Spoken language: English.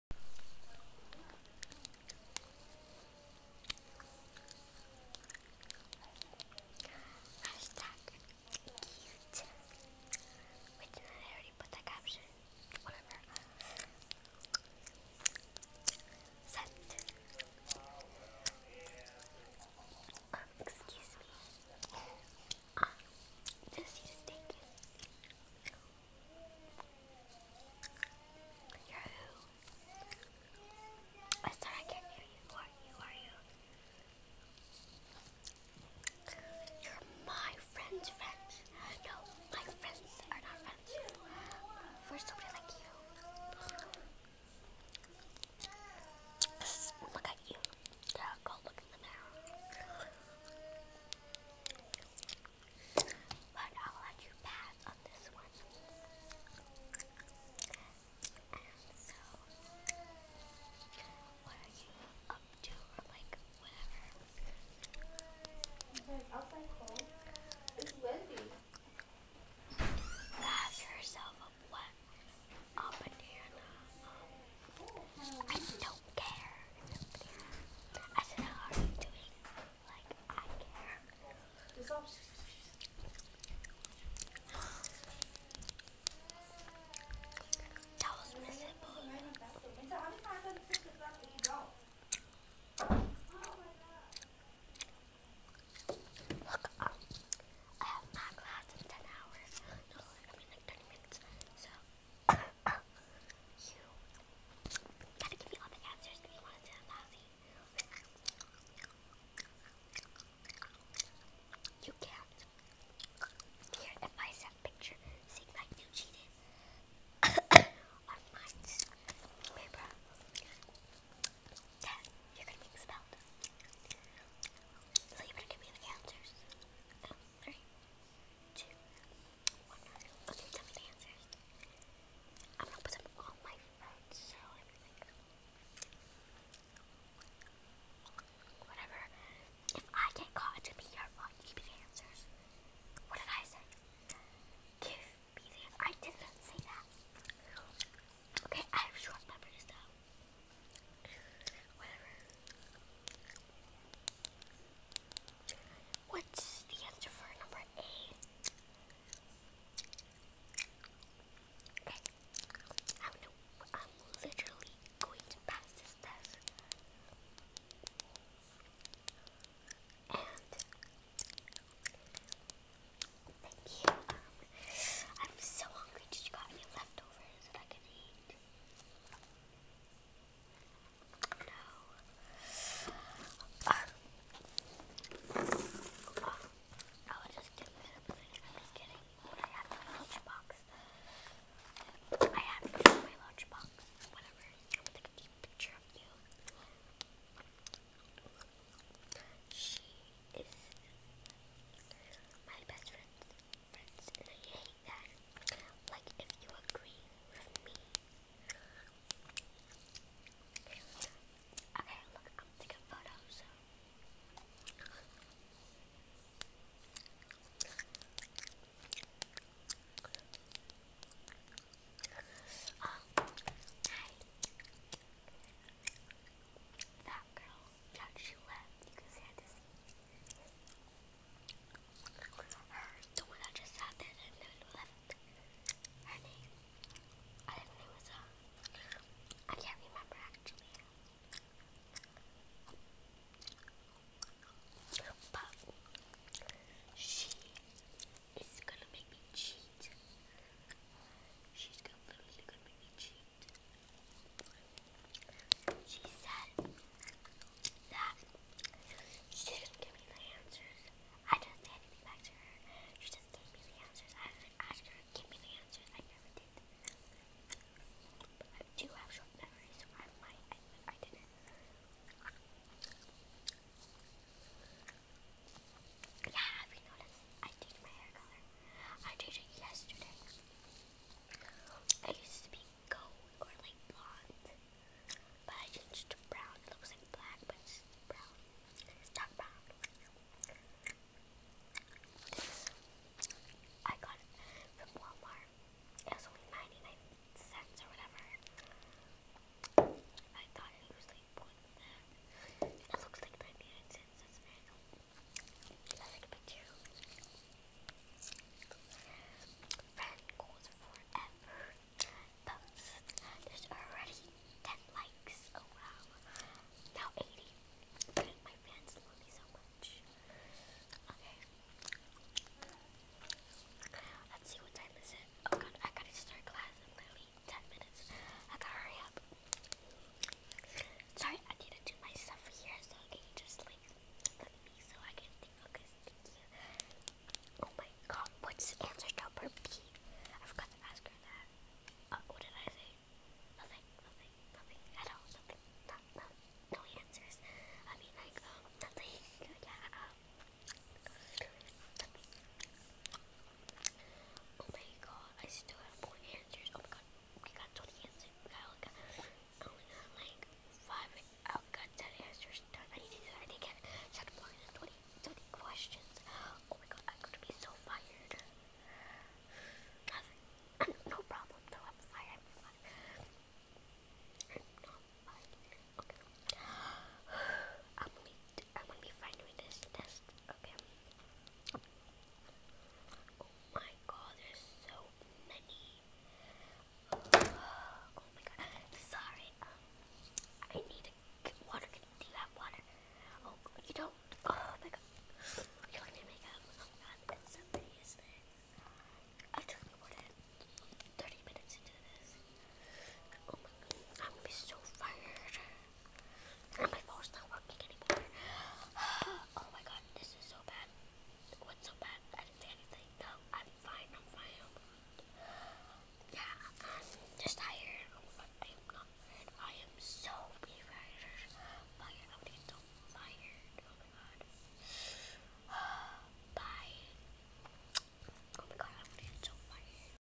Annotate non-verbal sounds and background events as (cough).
Hashtag cute. Wait, did I already put that caption? Whatever. Set. excuse me. Uh, this is taken. You're who? I'm I can't hear you. you? Who are you? You're my friend's friend. No, my friends are not friends. We're somebody like you. Look at you. Yeah, go look in the mirror. But I'll let you pass on this one. so, what are you up to, or like whatever? i outside cold. It's windy. Ask yourself a what? A banana. Um, I don't care. I said, how are you doing? Like, I care. That was miserable. Look, um, I have my class in 10 hours. No, I mean like 30 minutes. So, uh, you gotta give me all the answers if you want to sit lousy. You can if I send picture saying that you cheated on my paper, then (coughs) you're gonna be expelled. So you better give me the answers. Oh, two, one nine. Okay, tell me the answers. I'm gonna put them on my phone, so I whatever. If I get caught, it be your fault. You What did I say? Give me the I did not say that. Okay, I have short memories though. What's the answer for number eight? Okay. I am literally going to pass this test. And thank you. Um, I'm so hungry. Did you got any leftovers that I could eat? No. Um, uh, I was just getting rid of it. I was getting what I had in my lunchbox. I had in my lunchbox. Whatever. I'm gonna take a deep picture of you. She is my best friend difference, and I hate that. Like, if you agree with me. Okay, look, I'm taking photos. So. Um, hi. That girl that she left, you can see this. Her, the one that just sat there and then left. Her name, I think not um, remember actually. But she is gonna make me cheat. She's literally gonna make me cheat. She said that she didn't give me the answers. I didn't say anything back to her. She just gave me the answers. I did her give me the answers. I never did. But I do have short memories, so I might I didn't. Yeah, have you noticed I changed my hair color. I changed it yesterday. I used to be gold or like blonde, but I changed to brown. It looks like black, but it's brown. It's not brown. I got it from Walmart. It was only 99 cents or whatever. I thought it was like one. It looks like 99 cents. Should I like a picture? Friend goes forever. Post. There's already 10 likes. Oh wow. Now 80. My fans love me so much. Okay. Let's see what time is it. Oh god, I gotta start class ten minutes. I gotta hurry up. Sorry, I need to do my stuff here, so can you just like look me so I can stay focused? Thank you. Oh my god, what's the answer to number B? I forgot to ask her that. Uh, what did I say? Nothing, nothing, nothing at all. Nothing, not, not, no answers. I mean, like, um, nothing. Yeah, uh, Oh my god, I still have more answers. Oh my god, we got 20 answers. We got, we got, only got like 5, I got 10 answers done. I need to do that. I think I had more than 20, 20 questions. Oh my god, I'm gonna be so fired. (sighs) no problem, though. i (sighs) I'm gonna be, fine doing this Okay. Oh my god, there's so many. oh my god, sorry. Um, I need to get water. Do you have water? Oh, you don't. Oh my god, you're looking at makeup. Oh my god, and so many is I've done more 30 minutes into this. Oh my god, I'm gonna be so fired. My phone's not working anymore. (sighs) oh my god, this is so bad. so bad? I didn't say anything. No, I'm fine. I'm fine. Yeah, I'm just tired. Oh I am not. I am so tired. Fire. I'm so tired. Oh my god. (sighs) Bye. Oh my god, I'm so tired.